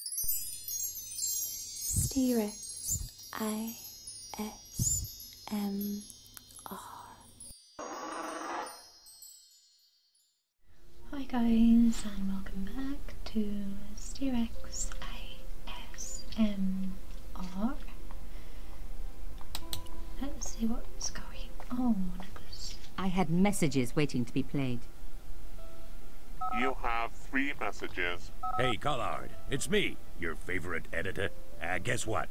Sterix I S M R. Hi guys and welcome back to Sterix S M R. Let's see what's going on. I had messages waiting to be played. You have three messages. Hey, Collard, it's me, your favorite editor. Uh, guess what?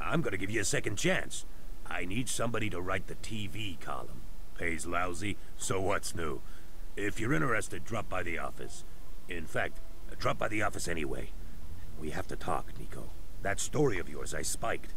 I'm gonna give you a second chance. I need somebody to write the TV column. Pays lousy, so what's new? If you're interested, drop by the office. In fact, drop by the office anyway. We have to talk, Nico. That story of yours I spiked.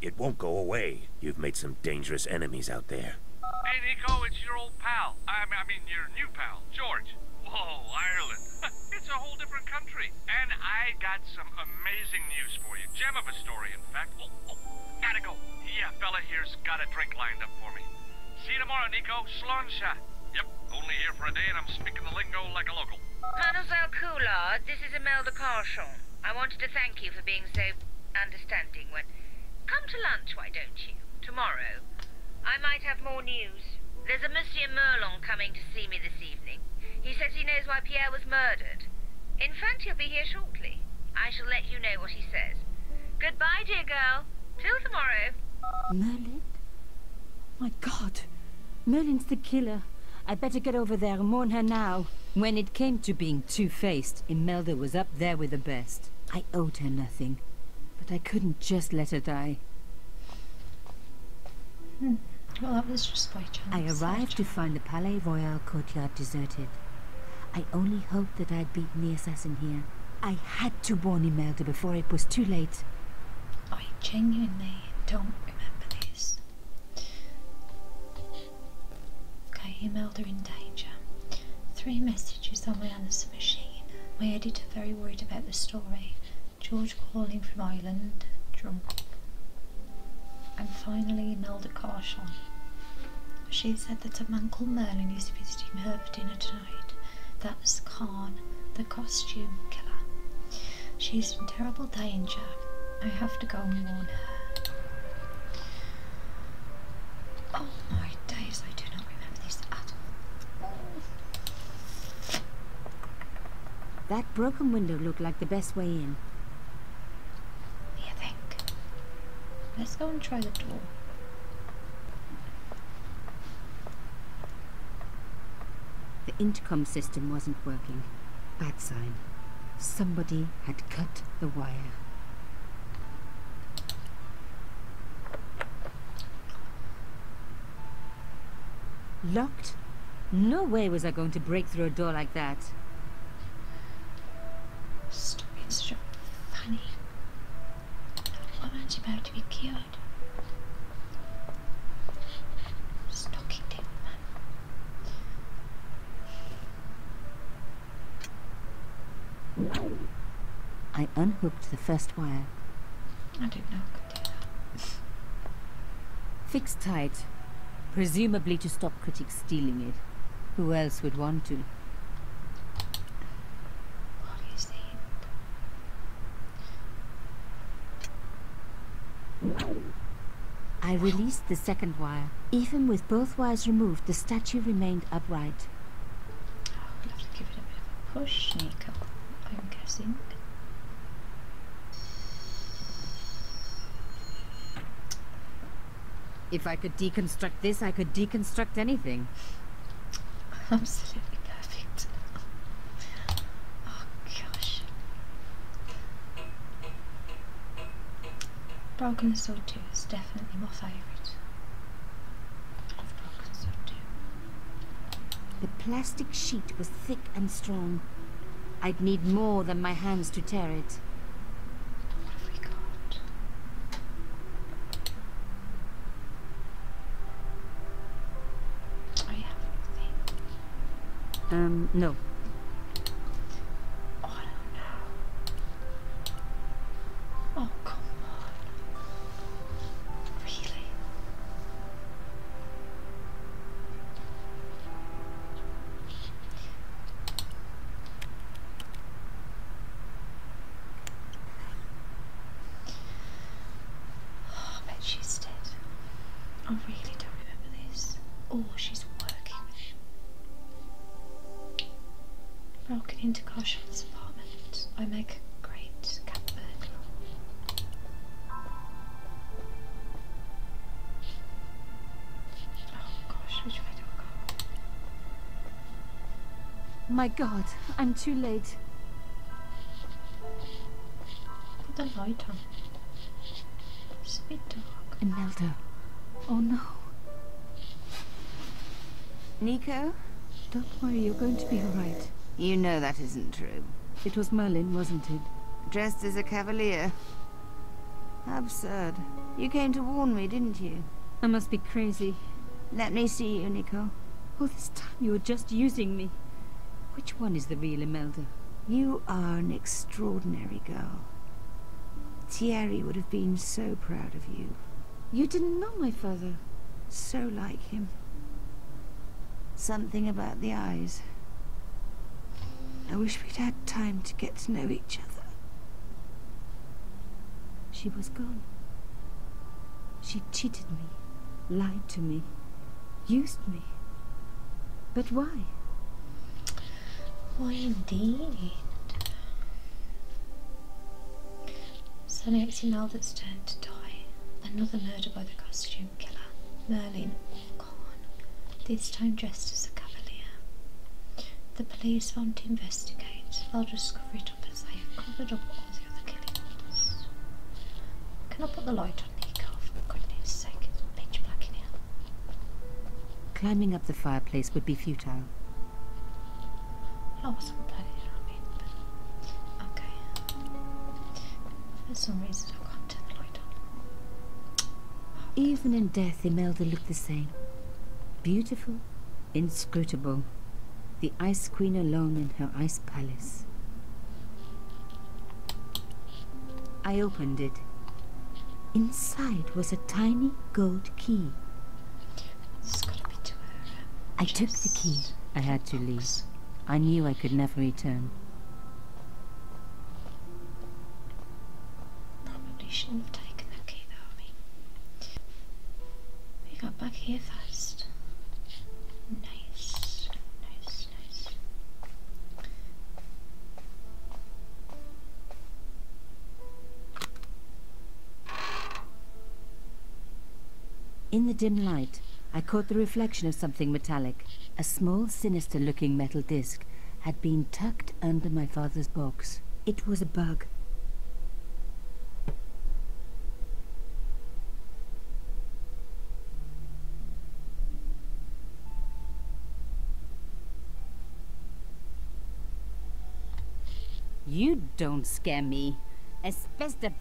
It won't go away. You've made some dangerous enemies out there. Hey, Nico, it's your old pal. I, mean, your new pal, George. Whoa, Ireland. it's a whole different country. And I got some amazing news for you. Gem of a story, in fact. Oh, oh gotta go. Yeah, fella here's got a drink lined up for me. See you tomorrow, Nico. Slonsha. Yep, only here for a day and I'm speaking the lingo like a local. Colonel Zalkula, this is de Carshon. I wanted to thank you for being so understanding When, Come to lunch, why don't you? Tomorrow. I might have more news. There's a Monsieur Merlon coming to see me this evening. He says he knows why Pierre was murdered. In fact, he'll be here shortly. I shall let you know what he says. Goodbye, dear girl. Till tomorrow. Merlin? My God. Merlin's the killer. I would better get over there and mourn her now. When it came to being two-faced, Imelda was up there with the best. I owed her nothing, but I couldn't just let her die. Hmm. Well, that was just by chance. I arrived to find the Palais Royal courtyard deserted. I only hoped that I'd beaten the assassin here. I had to warn Imelda before it was too late. I genuinely don't remember this. Okay, emailed are in danger. Three messages on my answering machine. My editor very worried about the story. George calling from Ireland, drunk. And finally Imelda Carshon. She said that a man called Merlin is visiting her for dinner tonight. That's Khan, the costume killer. She's in terrible danger. I have to go and warn her. Oh my days, I do not remember this at all. That broken window looked like the best way in. I think. Let's go and try the door. The intercom system wasn't working. Bad sign. Somebody had cut the wire. Locked? No way was I going to break through a door like that. Stop being such a funny. about to be cured. Stocking table I unhooked the first wire. I didn't know I could do that. Fixed tight. Presumably to stop critics stealing it. Who else would want to? What is it? I released the second wire. Even with both wires removed, the statue remained upright. Oh, will have to give it a bit of a push, sneak I'm guessing. If I could deconstruct this, I could deconstruct anything. Absolutely perfect. Oh gosh. Broken Soul 2 is my favourite of Brockens too. The plastic sheet was thick and strong. I'd need more than my hands to tear it. What have we got? I have nothing. Um, no. Oh, I don't know. Oh, come on. Really? Oh, bet she's dead. I really don't remember this. Oh, she's working. Broken into Carshot's apartment. I make a great cat burglar. Oh gosh, which way do I go? My god, I'm too late. Put the light on. It's a bit dark. Oh no. Nico? Don't worry, you're going to be all right. You know that isn't true. It was Merlin, wasn't it? Dressed as a cavalier. Absurd. You came to warn me, didn't you? I must be crazy. Let me see you, Nico. All this time you were just using me. Which one is the real Imelda? You are an extraordinary girl. Thierry would have been so proud of you. You didn't know my father. So like him. Something about the eyes. I wish we'd had time to get to know each other. She was gone. She cheated me, lied to me, used me. But why? Why indeed? Sally Exy Melville's turned to die. Another murder by the costume killer, Merlin Corn, this time dressed as a cavalier. The police want to investigate. They'll just cover it up as they have covered up all the other killings. Can I put the light on, Nico? For goodness sake, pitch black in here. Climbing up the fireplace would be futile down. I was the light on. Even in death, Imelda looked the same. Beautiful, inscrutable. The Ice Queen alone in her ice palace. I opened it. Inside was a tiny gold key. I took the key. I had to leave. I knew I could never return. Probably shouldn't have taken that key though, We got back here first. Nice. Nice, nice. In the dim light, I caught the reflection of something metallic. A small, sinister-looking metal disc had been tucked under my father's box. It was a bug. You don't scare me. Espèce de...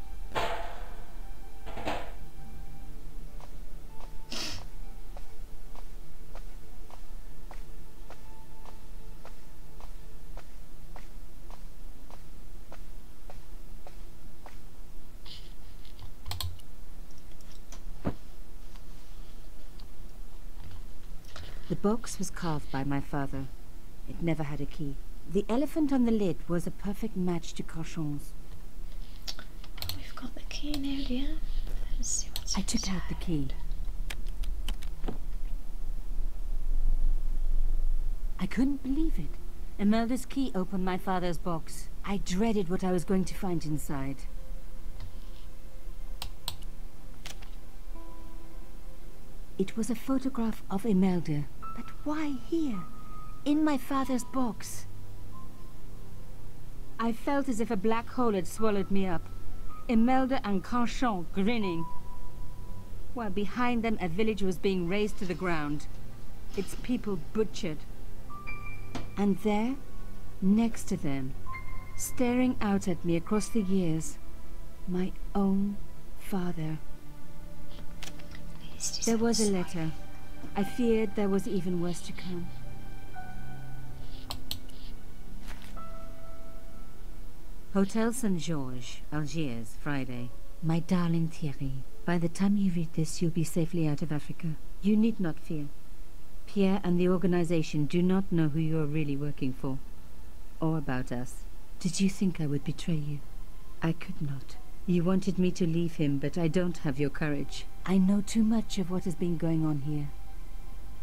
The box was carved by my father. It never had a key. The elephant on the lid was a perfect match to Cochon's. Oh, we've got the key now, dear. Let's see what's I took out the key. I couldn't believe it. Imelda's key opened my father's box. I dreaded what I was going to find inside. It was a photograph of Imelda. But why here? In my father's box. I felt as if a black hole had swallowed me up. Imelda and Carchon grinning. While behind them a village was being razed to the ground. Its people butchered. And there, next to them, staring out at me across the years, my own father. There was a letter. I feared there was even worse to come. Hotel St. George, Algiers, Friday. My darling Thierry, by the time you read this, you'll be safely out of Africa. You need not fear. Pierre and the organization do not know who you are really working for or about us. Did you think I would betray you? I could not. You wanted me to leave him, but I don't have your courage. I know too much of what has been going on here.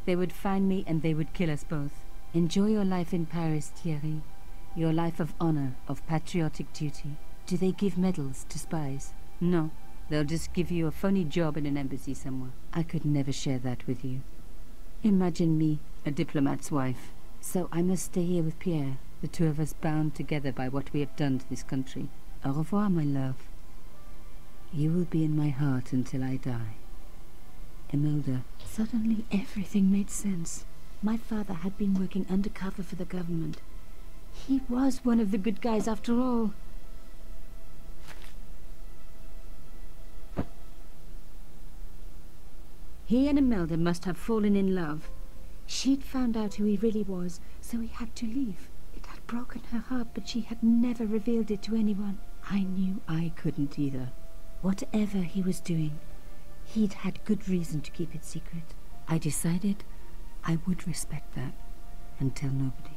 They would find me and they would kill us both. Enjoy your life in Paris, Thierry. Your life of honor, of patriotic duty. Do they give medals to spies? No. They'll just give you a funny job in an embassy somewhere. I could never share that with you. Imagine me, a diplomat's wife. So I must stay here with Pierre, the two of us bound together by what we have done to this country. Au revoir, my love. You will be in my heart until I die. Imelda. Suddenly everything made sense. My father had been working undercover for the government. He was one of the good guys after all. He and Imelda must have fallen in love. She'd found out who he really was, so he had to leave. It had broken her heart, but she had never revealed it to anyone. I knew I couldn't either. Whatever he was doing, he'd had good reason to keep it secret. I decided I would respect that and tell nobody.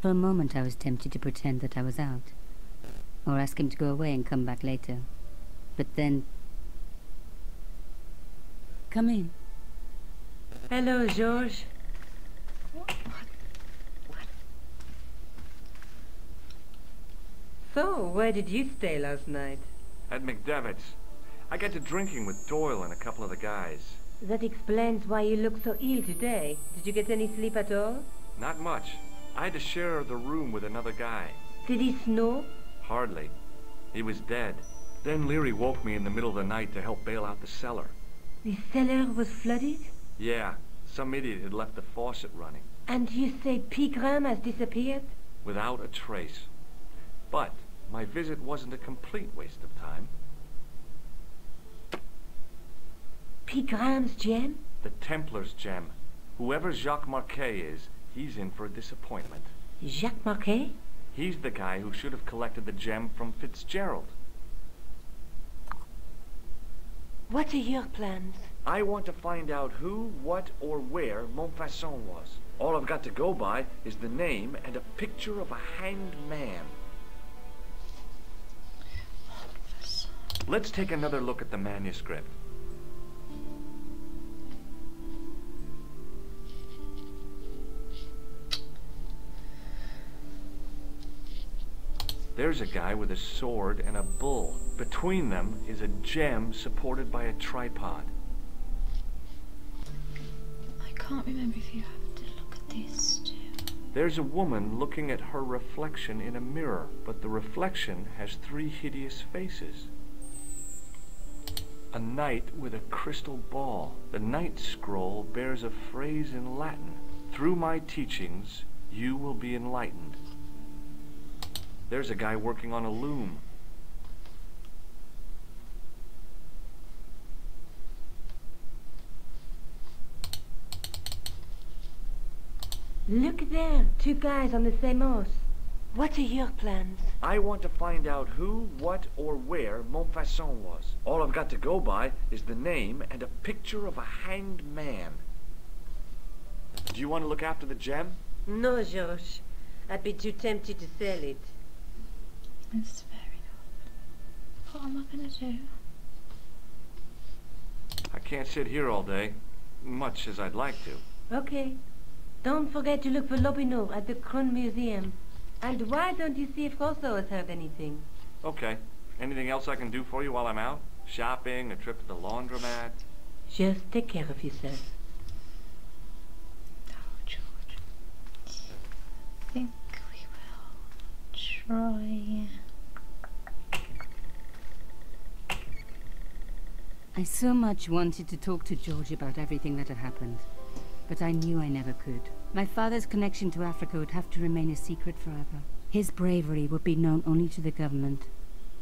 For a moment I was tempted to pretend that I was out, or ask him to go away and come back later. But then... Come in. Hello, George. What? What? So, where did you stay last night? At McDevitt's. I got to drinking with Doyle and a couple of the guys. That explains why you look so ill today. Did you get any sleep at all? Not much. I had to share the room with another guy. Did he snore? Hardly. He was dead. Then Leary woke me in the middle of the night to help bail out the cellar. The cellar was flooded? Yeah. Some idiot had left the faucet running. And you say P. Graham has disappeared? Without a trace. But my visit wasn't a complete waste of time. P. Graham's gem? The Templar's gem. Whoever Jacques Marquet is, he's in for a disappointment. Jacques Marquet? He's the guy who should have collected the gem from Fitzgerald. What are your plans? I want to find out who, what, or where Montfaucon was. All I've got to go by is the name and a picture of a hanged man. Let's take another look at the manuscript. There's a guy with a sword and a bull. Between them is a gem supported by a tripod. I can't remember if you have a there's a woman looking at her reflection in a mirror, but the reflection has three hideous faces. A knight with a crystal ball. The knight's scroll bears a phrase in Latin. Through my teachings, you will be enlightened. There's a guy working on a loom. Look there, two guys on the same horse. What are your plans? I want to find out who, what, or where Montfaucon was. All I've got to go by is the name and a picture of a hanged man. Do you want to look after the gem? No, Georges. I'd be too tempted to sell it. It's very odd. What am I going to do? I can't sit here all day, much as I'd like to. Okay. Don't forget to look for Lopino at the Krone Museum. And why don't you see if Rosso has heard anything? Okay. Anything else I can do for you while I'm out? Shopping, a trip to the laundromat? Just take care of yourself. Oh, George. I so much wanted to talk to George about everything that had happened, but I knew I never could. My father's connection to Africa would have to remain a secret forever. His bravery would be known only to the government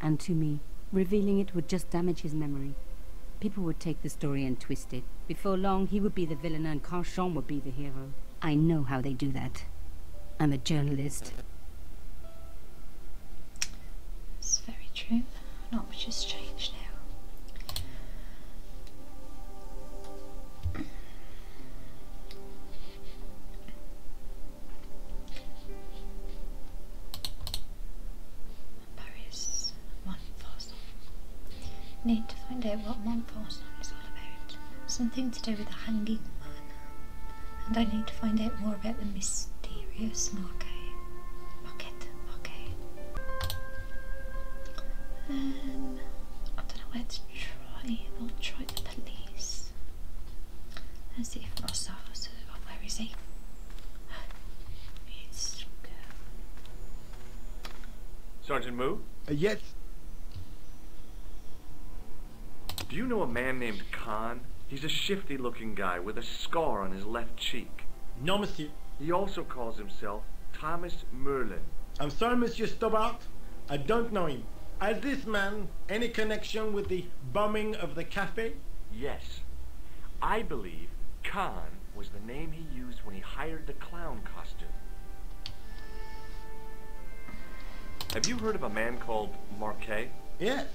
and to me. Revealing it would just damage his memory. People would take the story and twist it. Before long, he would be the villain and Carchon would be the hero. I know how they do that. I'm a journalist. It's very true. Not much has changed now. Paris, one thousand. Need to find out what Montfauçon is all about. Something to do with the Hanging Man. And I need to find out more about the mysterious Marquet. Marquette, okay. Um, I don't know where to try. I'll try the police. Let's see if Ross offers. Oh, where is he? Sergeant Moo? Uh, yes. Do you know a man named Khan? He's a shifty looking guy with a scar on his left cheek. No, monsieur. He also calls himself Thomas Merlin. I'm sorry, Monsieur Stobart. I don't know him. Has this man any connection with the bombing of the cafe? Yes. I believe Khan was the name he used when he hired the clown costume. Have you heard of a man called Marquet? Yes.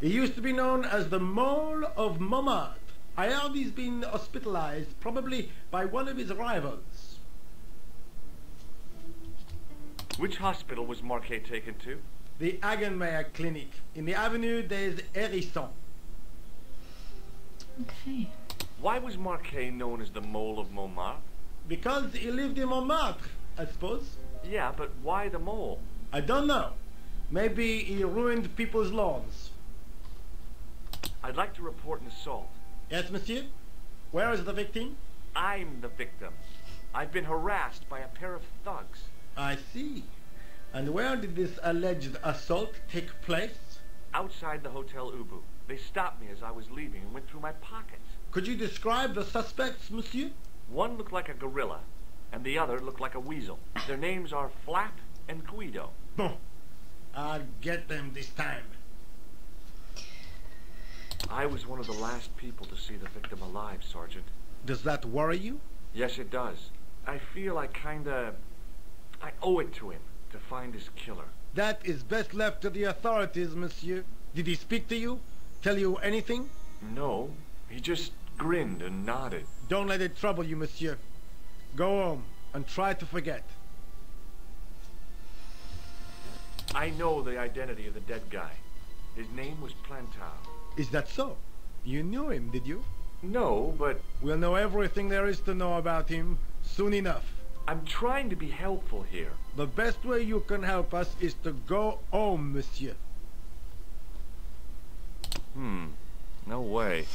He used to be known as the Mole of Montmartre. I heard he's been hospitalized, probably by one of his rivals. Which hospital was Marquet taken to? The Hagenmeyer Clinic, in the Avenue des Hérissons. Okay. Why was Marquet known as the Mole of Montmartre? Because he lived in Montmartre, I suppose. Yeah, but why the mole? I don't know. Maybe he ruined people's lawns. I'd like to report an assault. Yes, monsieur? Where is the victim? I'm the victim. I've been harassed by a pair of thugs. I see. And where did this alleged assault take place? Outside the Hotel Ubu. They stopped me as I was leaving and went through my pockets. Could you describe the suspects, monsieur? One looked like a gorilla, and the other looked like a weasel. Their names are Flap and Guido. Bon. I'll get them this time. I was one of the last people to see the victim alive, Sergeant. Does that worry you? Yes, it does. I feel I kinda... I owe it to him to find his killer? That is best left to the authorities, monsieur. Did he speak to you? Tell you anything? No, he just grinned and nodded. Don't let it trouble you, monsieur. Go home and try to forget. I know the identity of the dead guy. His name was Plantal. Is that so? You knew him, did you? No, but... We'll know everything there is to know about him soon enough. I'm trying to be helpful here. The best way you can help us is to go home, monsieur. Hmm. No way.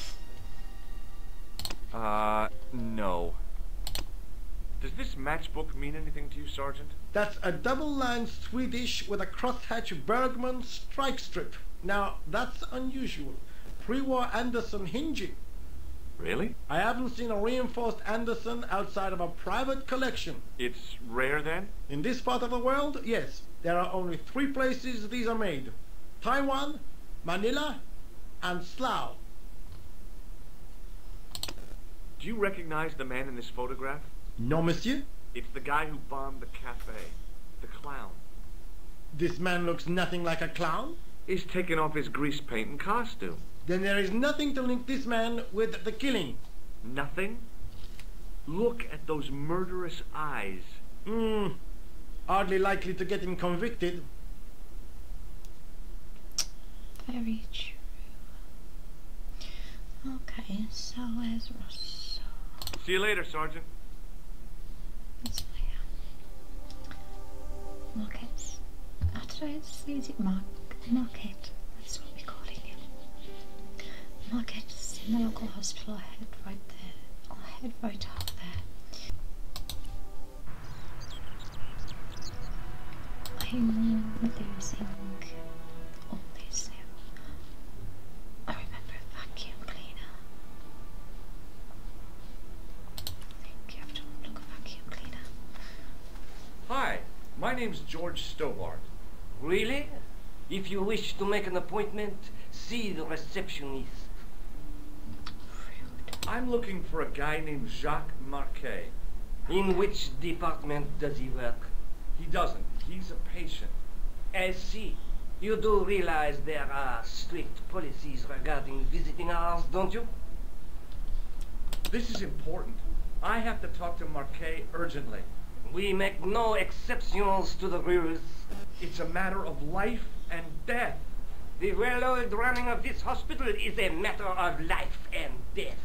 Uh, no. Does this matchbook mean anything to you, Sergeant? That's a double-line Swedish with a crosshatch Bergman strike strip. Now, that's unusual. Pre-war Anderson hinging. Really? I haven't seen a reinforced Anderson outside of a private collection. It's rare then? In this part of the world, yes. There are only three places these are made. Taiwan, Manila, and Slough. Do you recognize the man in this photograph? No, monsieur. It's the guy who bombed the cafe. The clown. This man looks nothing like a clown? is taking off his grease paint and costume. Then there is nothing to link this man with the killing. Nothing? Look at those murderous eyes. Hmm. Hardly likely to get him convicted. Very true. Okay, so where's See you later, Sergeant. It's how did I That's what we're calling it. Marquette's in the local hospital. head right there. head right out there. I'm losing all this I remember vacuum cleaner. I you Hi, my name's George Stobart. Really? If you wish to make an appointment, see the receptionist. I'm looking for a guy named Jacques Marquet. In which department does he work? He doesn't. He's a patient. I see. You do realize there are strict policies regarding visiting hours, don't you? This is important. I have to talk to Marquet urgently. We make no exceptions to the rules. It's a matter of life and death. The well-oiled running of this hospital is a matter of life and death.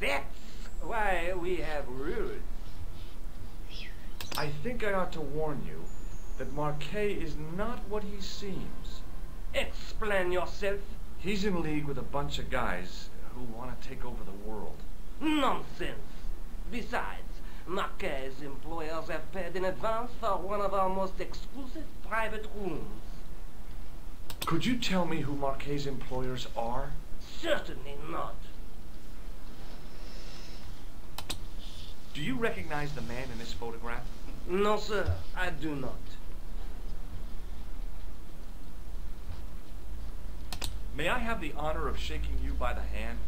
That's why we have rules. I think I ought to warn you that Marquet is not what he seems. Explain yourself. He's in league with a bunch of guys who want to take over the world. Nonsense. Besides, Marquez's employers have paid in advance for one of our most exclusive private rooms. Could you tell me who Marquez's employers are? Certainly not. Do you recognize the man in this photograph? No, sir, I do. May I have the honor of shaking you by the hand?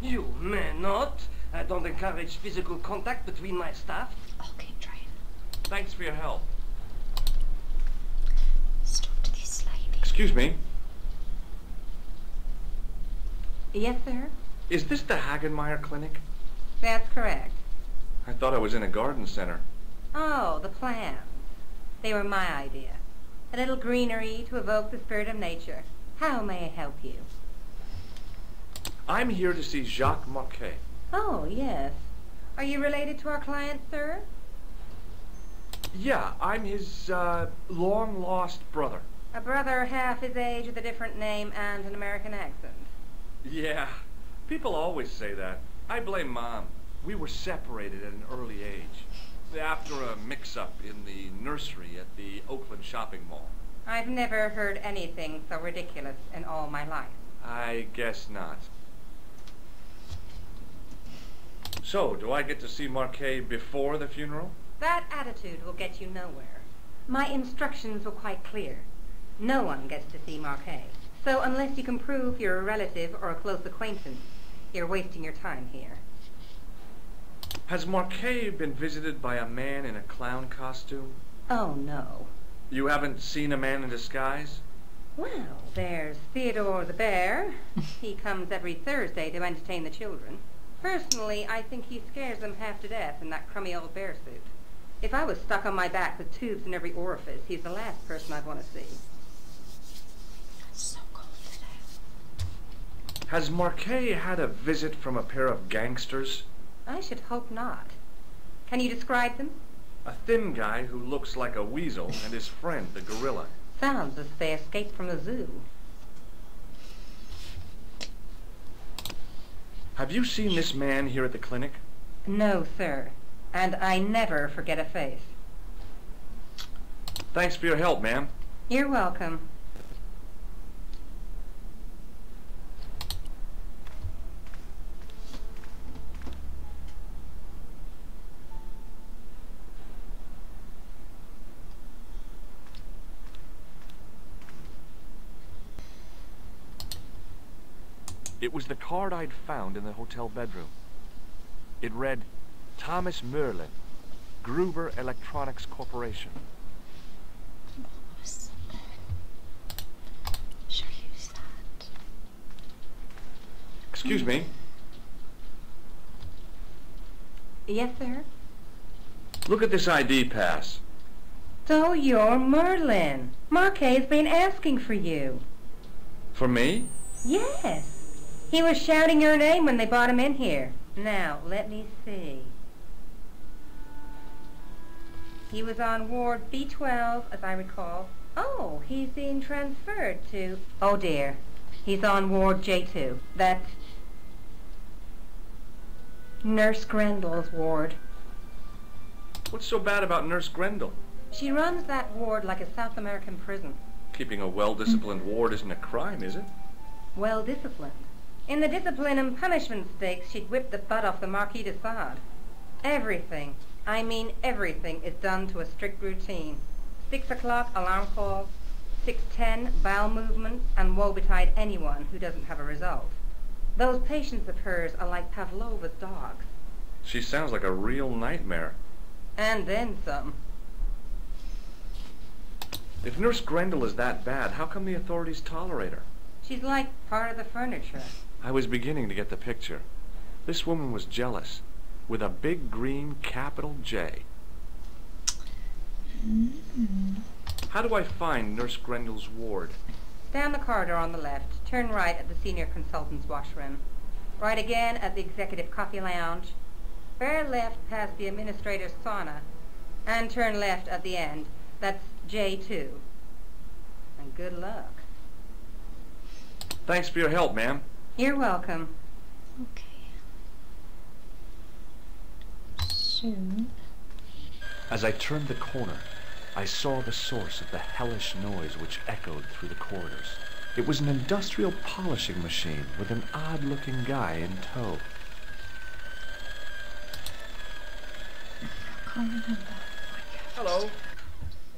You may not. I don't encourage physical contact between my staff. Okay, try Thanks for your help. Stop this lady. Excuse me. Yes, sir? Is this the Hagenmeyer Clinic? That's correct. I thought I was in a garden center. Oh, the plants. They were my idea. A little greenery to evoke the spirit of nature. How may I help you? I'm here to see Jacques Marquet. Oh, yes. Are you related to our client, sir? Yeah, I'm his uh, long-lost brother. A brother half his age with a different name and an American accent. Yeah, people always say that. I blame Mom. We were separated at an early age, after a mix-up in the nursery at the Oakland shopping mall. I've never heard anything so ridiculous in all my life. I guess not. So, do I get to see Marquet before the funeral? That attitude will get you nowhere. My instructions were quite clear. No one gets to see Marquet. So unless you can prove you're a relative or a close acquaintance, you're wasting your time here. Has Marquet been visited by a man in a clown costume? Oh, no. You haven't seen a man in disguise? Well, there's Theodore the Bear. he comes every Thursday to entertain the children. Personally, I think he scares them half to death and that crummy old bear if I was stuck on my back with tubes in every orifice, he's the last person I'd want to see. So cold today. Has Marquet had a visit from a pair of gangsters? I should hope not. Can you describe them? A thin guy who looks like a weasel and his friend, the gorilla. Sounds as if they escaped from the zoo. Have you seen this man here at the clinic? No, sir. And I never forget a face. Thanks for your help, ma'am. You're welcome. It was the card I'd found in the hotel bedroom. It read, Thomas Merlin, Gruber Electronics Corporation. Excuse me. Yes, sir. Look at this ID pass. So you're Merlin. Marquet's been asking for you. For me? Yes. He was shouting your name when they brought him in here. Now, let me see. He was on Ward B12, as I recall. Oh, he's been transferred to... Oh, dear. He's on Ward J2. That Nurse Grendel's ward. What's so bad about Nurse Grendel? She runs that ward like a South American prison. Keeping a well-disciplined ward isn't a crime, is it? Well-disciplined. In the discipline and punishment stakes, she'd whip the butt off the Marquis de Sade. Everything, I mean everything, is done to a strict routine. Six o'clock, alarm call. 6.10, bowel movements, and woe betide anyone who doesn't have a result. Those patients of hers are like Pavlova's dogs. She sounds like a real nightmare. And then some. If Nurse Grendel is that bad, how come the authorities tolerate her? She's like part of the furniture. I was beginning to get the picture. This woman was jealous, with a big green capital J. How do I find Nurse Grendel's ward? Down the corridor on the left. Turn right at the senior consultant's washroom. Right again at the executive coffee lounge. Bear left past the administrator's sauna. And turn left at the end. That's J2. And good luck. Thanks for your help, ma'am. You're welcome. Okay. Soon. As I turned the corner, I saw the source of the hellish noise which echoed through the corridors. It was an industrial polishing machine with an odd-looking guy in tow. Hello.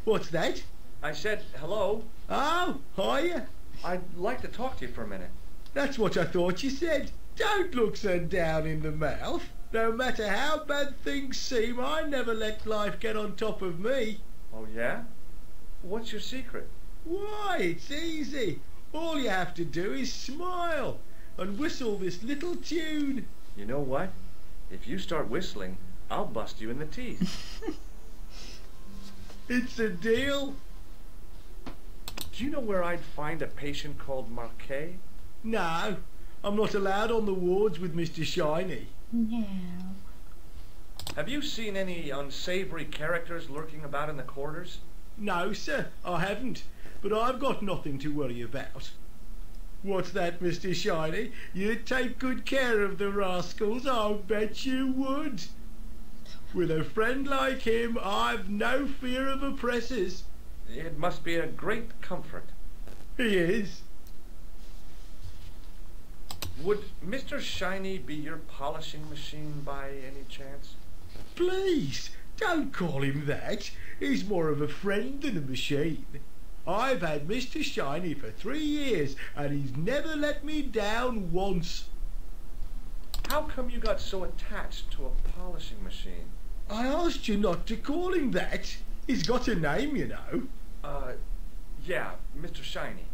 What's that? I said hello. Oh, are you? I'd like to talk to you for a minute. That's what I thought you said. Don't look so down in the mouth. No matter how bad things seem, I never let life get on top of me. Oh, yeah? What's your secret? Why, it's easy. All you have to do is smile and whistle this little tune. You know what? If you start whistling, I'll bust you in the teeth. it's a deal. Do you know where I'd find a patient called Marquet? No, I'm not allowed on the wards with Mr. Shiny. No. Have you seen any unsavory characters lurking about in the corridors? No, sir, I haven't. But I've got nothing to worry about. What's that, Mr. Shiny? You'd take good care of the rascals, I'll bet you would. With a friend like him, I've no fear of oppressors. It must be a great comfort. He is. Would Mr. Shiny be your polishing machine by any chance? Please, don't call him that. He's more of a friend than a machine. I've had Mr. Shiny for three years, and he's never let me down once. How come you got so attached? to a polishing machine. I asked you not to call him that. He's got a name, you know. Uh, yeah, Mr. Shiny.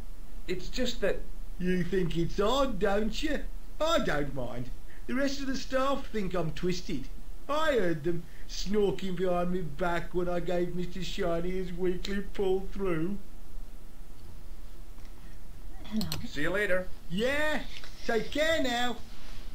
It's just that... You think it's odd, don't you? I don't mind. The rest of the staff think I'm twisted. I heard them snorking behind my back when I gave Mr. Shiny his weekly pull through. Hello. See you later. Yeah. Take care now.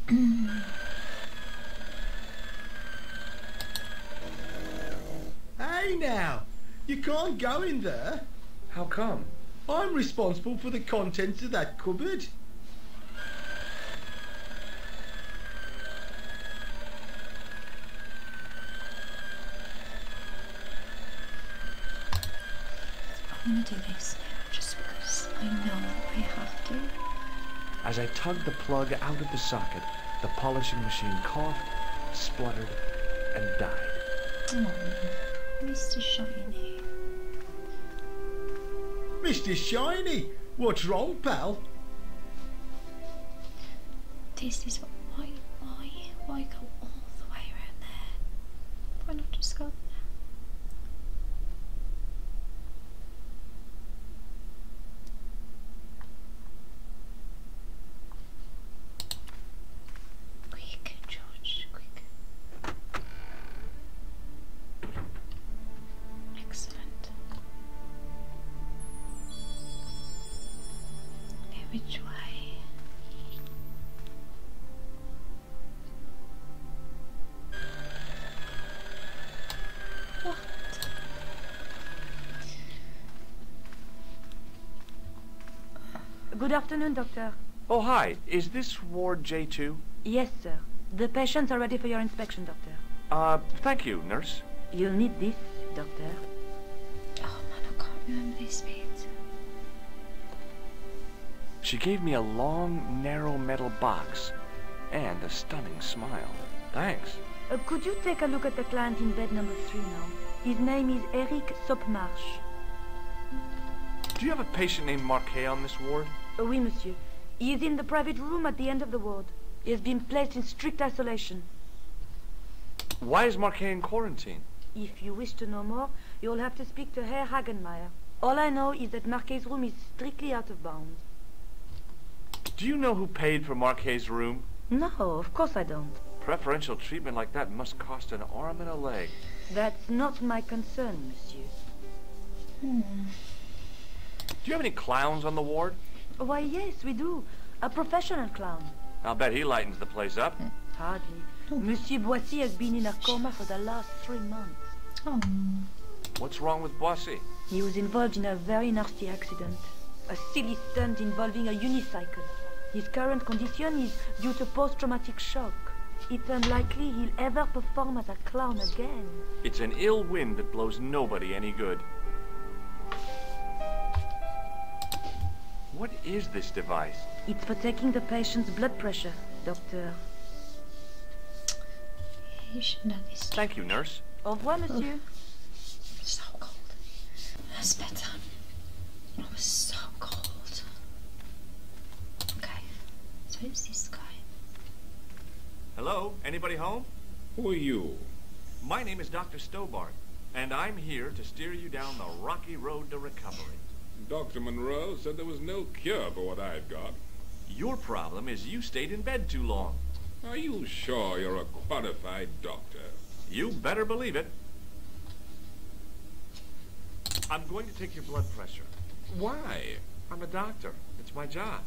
hey now, you can't go in there. How come? I'm responsible for the contents of that cupboard snap whispers. I know I have to. As I tugged the plug out of the socket, the polishing machine coughed, spluttered, and died. Oh, Mr. Shiny. Mr. Shiny, what's wrong, pal? This is what, why, why, why go all the way around there? Why not just go there? Quick, George, quick. Excellent. which way? Good afternoon, Doctor. Oh, hi. Is this Ward J2? Yes, sir. The patients are ready for your inspection, Doctor. Uh, thank you, nurse. You'll need this, Doctor. Oh, I can't remember these bits. She gave me a long, narrow metal box and a stunning smile. Thanks. Uh, could you take a look at the client in bed number three now? His name is Eric Sopmarsh. Do you have a patient named Marquet on this ward? Oh, oui, monsieur. He is in the private room at the end of the ward. He has been placed in strict isolation. Why is Marquet in quarantine? If you wish to know more, you'll have to speak to Herr Hagenmeier. All I know is that Marquet's room is strictly out of bounds. Do you know who paid for Marquet's room? No, of course I don't. Preferential treatment like that must cost an arm and a leg. That's not my concern, monsieur. Hmm. Do you have any clowns on the ward? Why, yes, we do. A professional clown. I'll bet he lightens the place up. Hardly. Hmm. Monsieur Boissy has been in a coma for the last three months. Oh. What's wrong with Bossy? He was involved in a very nasty accident. A silly stunt involving a unicycle. His current condition is due to post-traumatic shock. It's unlikely he'll ever perform as a clown again. It's an ill wind that blows nobody any good. What is this device? It's for taking the patient's blood pressure, Doctor. Thank you, nurse. Au revoir, monsieur. Oh. So cold. That's better. I was so cold. Okay. who's this guy? Hello? Anybody home? Who are you? My name is Dr. Stobart, and I'm here to steer you down the rocky road to recovery. Dr. Monroe said there was no cure for what I your problem is you stayed in bed too long. Are you sure you're a qualified doctor? You better believe it. I'm going to take your blood pressure. Why? I'm a doctor. It's my job.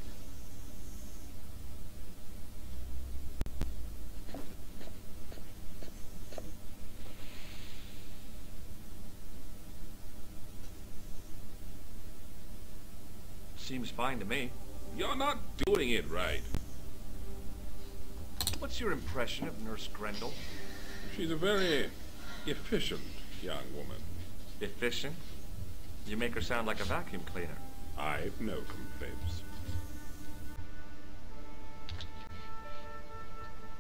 Seems fine to me. You're not doing it right. What's your impression of Nurse Grendel? She's a very efficient young woman. Efficient? You make her sound like a vacuum cleaner. I've no complaints.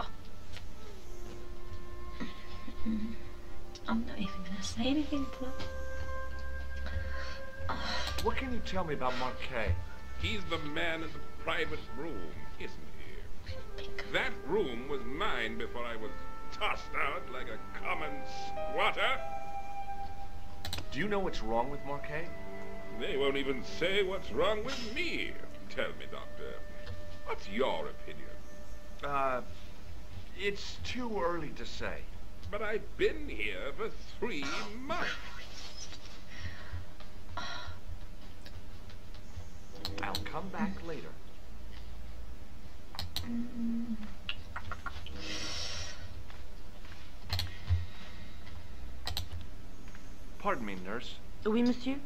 Oh. I'm not even gonna say anything to them. What can you tell me about Marquet? He's the man in the private room, isn't he? That room was mine before I was tossed out like a common squatter. Do you know what's wrong with Marquet? They won't even say what's wrong with me. Tell me, Doctor, What's your opinion? Uh, it's too early to say. But I've been here for three months. I'll come back later. Pardon me, nurse. Oui, monsieur?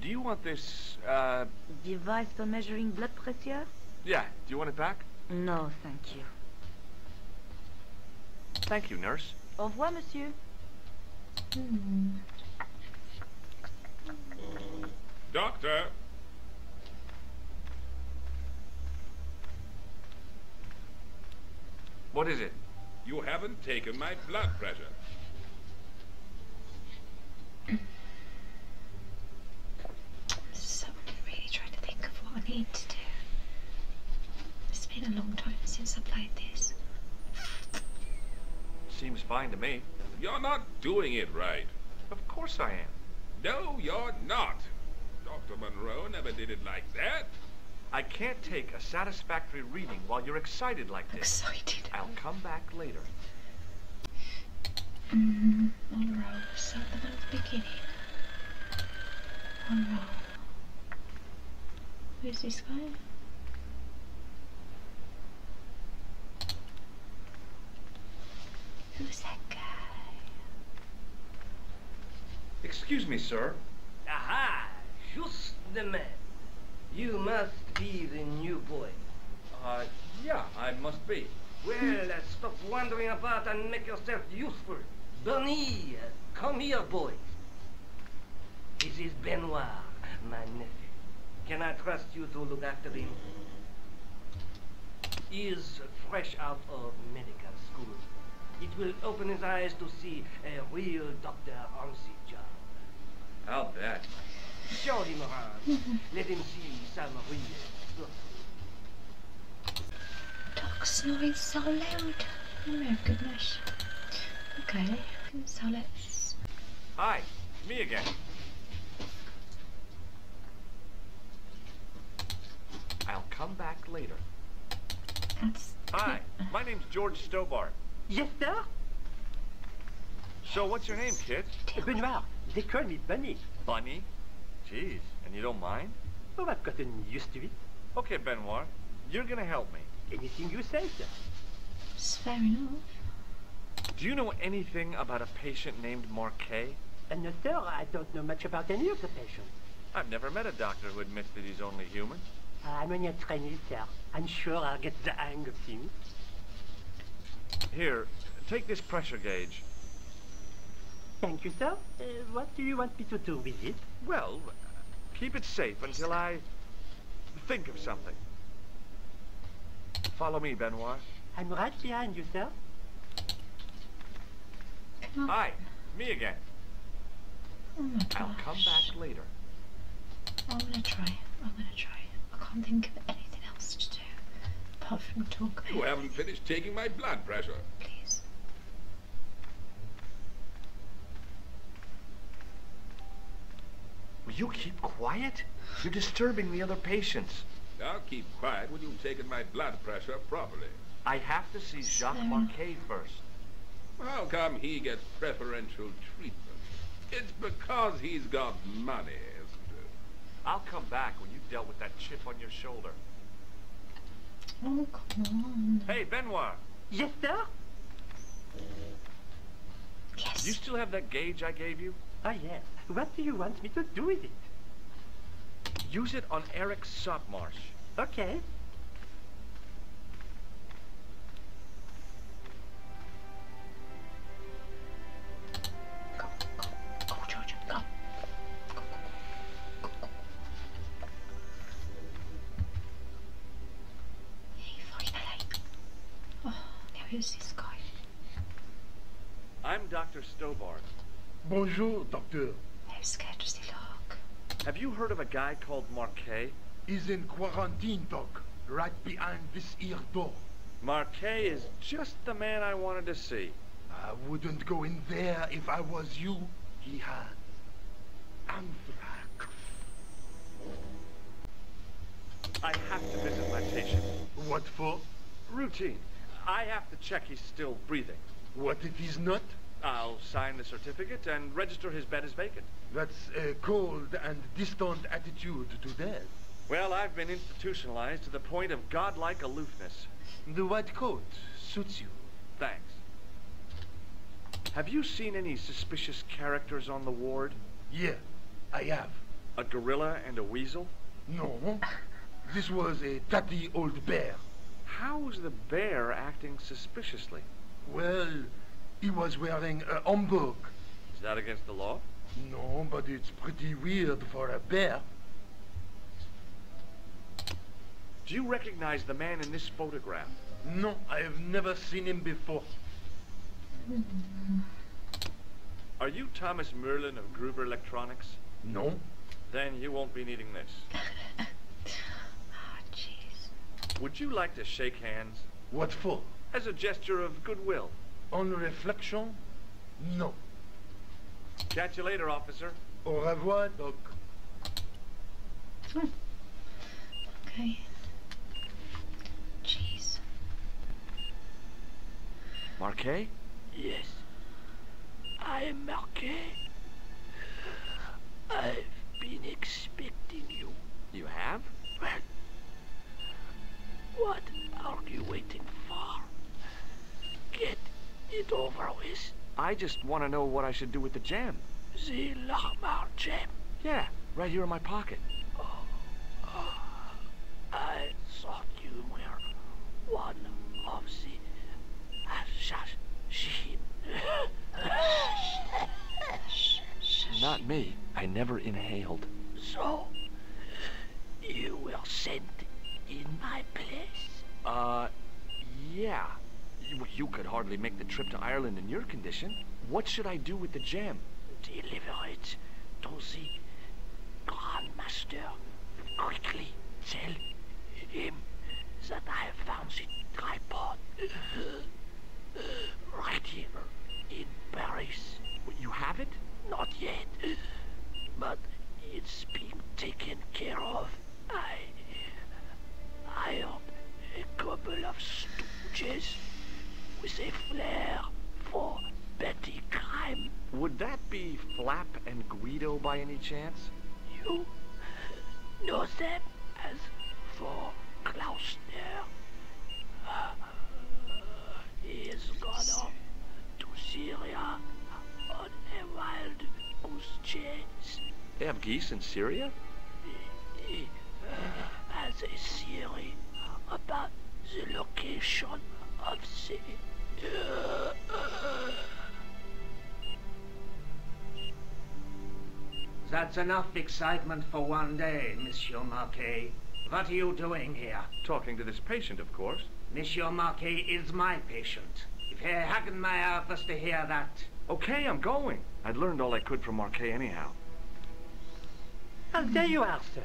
Do you want this, uh, Device for measuring blood pressure? Yeah, do you want it back? No, thank you. Thank you, nurse. Au revoir, monsieur. Doctor! What is it? You haven't taken my blood pressure. I'm really trying to think of what I need to do. It's been a long time since I played this. Seems fine to me. You're not doing it right. Of course I am. No, you're not. Dr. Monroe never did it like that. I can't take a satisfactory reading while you're excited like this. Excited. I'll come back later. one row, something beginning. One row. Who's this guy? Who's that guy? Excuse me, sir. Aha! Just the man. You must be the new boy. Ah, yeah, I must be. Well, uh, stop wandering about and make yourself useful. Bonnie, uh, come here, boy. This is Benoit, my nephew. Can I trust you to look after him? He is fresh out of medical school. It will open his eyes to see a real doctor on the job. I'll bet. Show him around. Let him see some real stuff. Dog's noise so loud. Oh my goodness. Okay, so let's... Hi, me again. I'll come back later. Hi, my name's George Stobart. Yes, sir? So what's your name, kid? Benoit. They call me Bunny. Bunny? Jeez, and you don't mind? Oh, I've gotten used to it. Okay, Benoit, you're gonna help me. Anything you say, sir. It's fair enough. Do you know anything about a patient named Marquet? Uh, no, I don't know much about any of the patients. I've never met a doctor who admits that he's only human. Ah, I'm only a trainee, sir. I'm sure I'll get the hang of things. Here, take this pressure gauge. Thank you, sir. Uh, what do you want me to do with it? Well, keep it safe until I think of something. Follow me, Benoit. I'm right behind you, sir. Mm. Hi, me again. Oh I'll come back later. I'm gonna try. I'm gonna I can't think of anything else to do apart from talk You haven't finished taking my blood pressure. Please. Will you keep quiet? You're disturbing the other patients. I'll keep quiet when you've taken my blood pressure properly. I have to see Jacques Marquet first. How come he gets preferential treatment? It's because he's got money, isn't it? I'll come back when you've dealt with that chip on your shoulder. Oh, hey, Benoit. Yes, sir? Yes. You still have that gauge I gave you? Ah, yes. What do you want me to do with it? Use it on Eric Sopmarsh. Okay. Go, go, go, Georgia, go. Go, go, go, go, Hey, sorry, Oh, now here's this guy. I'm Dr. Stobart. Bonjour, Doctor. I'm scared to see look. Have you heard of a guy called Marquet? He's in quarantine, Doc right behind this ear door. Marquet is just the man I wanted to see. I wouldn't go in there if I was you. He has anthrax. I have to visit my patient. What for? Routine. I have to check he's still breathing. What if he's not? I'll sign the certificate and register his bed as vacant that's a cold and distant attitude to death. Well, I've been institutionalized to the point of godlike aloofness. The white coat suits you. Thanks. Have you seen any suspicious characters on the ward? Yeah, I have. A gorilla and a weasel? No. This was a tatty old bear. How was the bear acting suspiciously? Well, he was wearing a homburg is that against the law? No, but it's pretty weird for a bear. Do you recognize the man in this photograph? No, I have never seen him before. Are you Thomas Merlin of Gruber Electronics? No. Then you won't be needing this. oh, jeez. Would you like to shake hands? What for? As a gesture of goodwill. On réflexion? No. Catch you later, officer. Au revoir, Doc. Hmm. Okay. Jeez. Marquet? Yes. I am Marquet. I've been expecting you. You have? Well, what are you waiting for? Get it over with. I just want to know what I should do with the gem. The Lochmar gem? Yeah, right here in my pocket. Oh, oh, I thought you were one of the Assassins. Not me. I never inhaled. So, you will send in my place? Uh, yeah. You, could hardly make the trip to Ireland in your condition. What should I do with the jam? Deliver it to the Grand Master. Quickly tell him that I have found the tripod. Right here, in Paris. You have it? Not yet. But it's being taken care of. I... I am a couple of stooges with a flair for petty crime. Would that be Flap and Guido by any chance? You No. them as for Klaus he has gone off to Syria on a wild goose chase. They have geese in Syria? He, uh, has a theory about the location of the... That's enough excitement for one day, Monsieur Marquet. What are you doing here? Talking to this patient, of course. Monsieur Marquet is my patient. If hadn't my office to hear that... Okay, I'm going. I'd learned all I could from Marquet anyhow. Well, there you are, sir.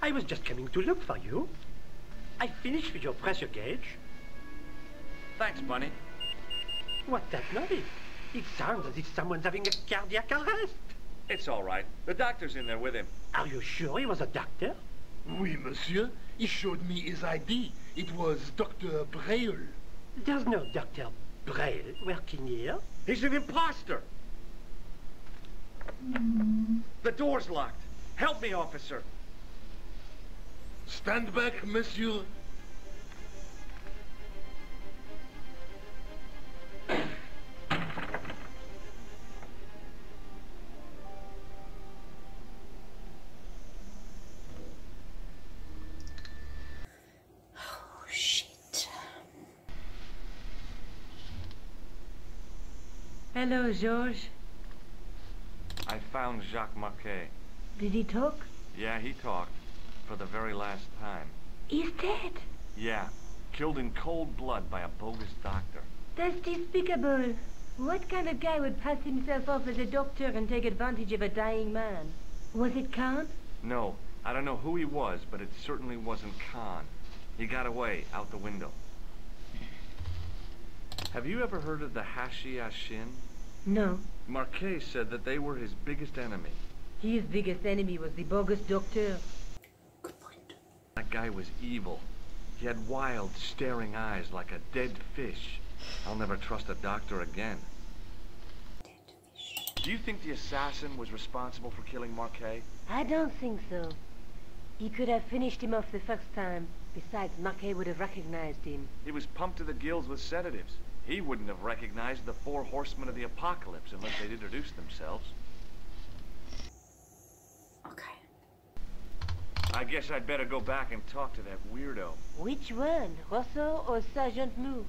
I was just coming to look for you. I finished with your pressure gauge. Thanks, Bunny. What's that noise? It sounds as if someone's having a cardiac arrest. It's all right. The doctor's in there with him. Are you sure he was a doctor? Oui, monsieur. He showed me his ID. It was Dr. Braille. There's no Dr. Braille working here. He's an impostor. The door's locked. Help me, officer. Stand back, monsieur. Hello, Georges. I found Jacques Marquet. Did he talk? Yeah, he talked. For the very last time. He's dead? Yeah. Killed in cold blood by a bogus doctor. That's despicable. What kind of guy would pass himself off as a doctor and take advantage of a dying man? Was it Khan? No. I don't know who he was, but it certainly wasn't Khan. He got away, out the window. Have you ever heard of the Hashi Ashin? No. Marquet said that they were his biggest enemy. His biggest enemy was the bogus doctor. Good point. That guy was evil. He had wild, staring eyes like a dead fish. I'll never trust a doctor again. Do you think the assassin was responsible for killing Marquet? I don't think so. He could have finished him off the first time. Besides, Marquet would have recognized him. He was pumped to the gills with sedatives. He wouldn't have recognized the four horsemen of the apocalypse unless they'd introduced themselves. Okay. I guess I'd better go back and talk to that weirdo. Which one? Rosso or Sergeant Moo?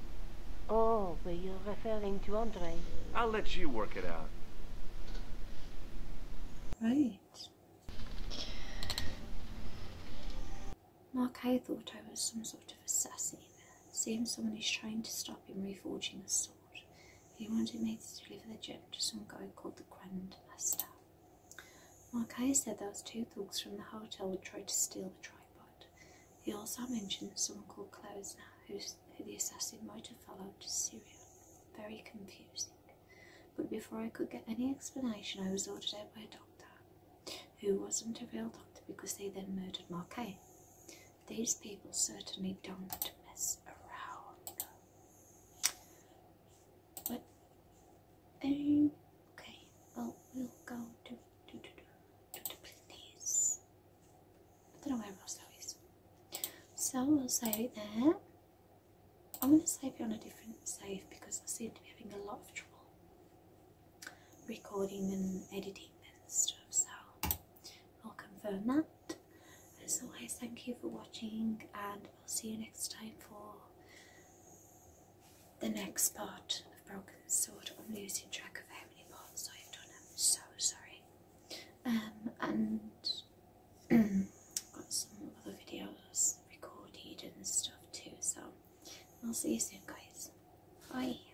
Oh, were you referring to Andre. I'll let you work it out. Right. Mark, I thought I was some sort of a sassy. Soon someone is trying to stop him reforging a sword. He wanted me to deliver the gem to some guy called the Grand Master. Marquez said was two thugs from the hotel would try to steal the tripod. He also mentioned someone called Klausner, who the assassin might have followed to Syria. Very confusing. But before I could get any explanation, I was ordered out by a doctor, who wasn't a real doctor because they then murdered Marquez. These people certainly don't mess around. But okay, well we'll go to to to to, to the place. I don't know where Roslo So we'll save it there. I'm gonna save it on a different save because I seem to be having a lot of trouble recording and editing and stuff so I'll confirm that as always thank you for watching and I'll see you next time for the next part of Broken Sword I'm losing track of how many parts I've done I'm so sorry um, and got some other videos recorded and stuff too so I'll see you soon guys bye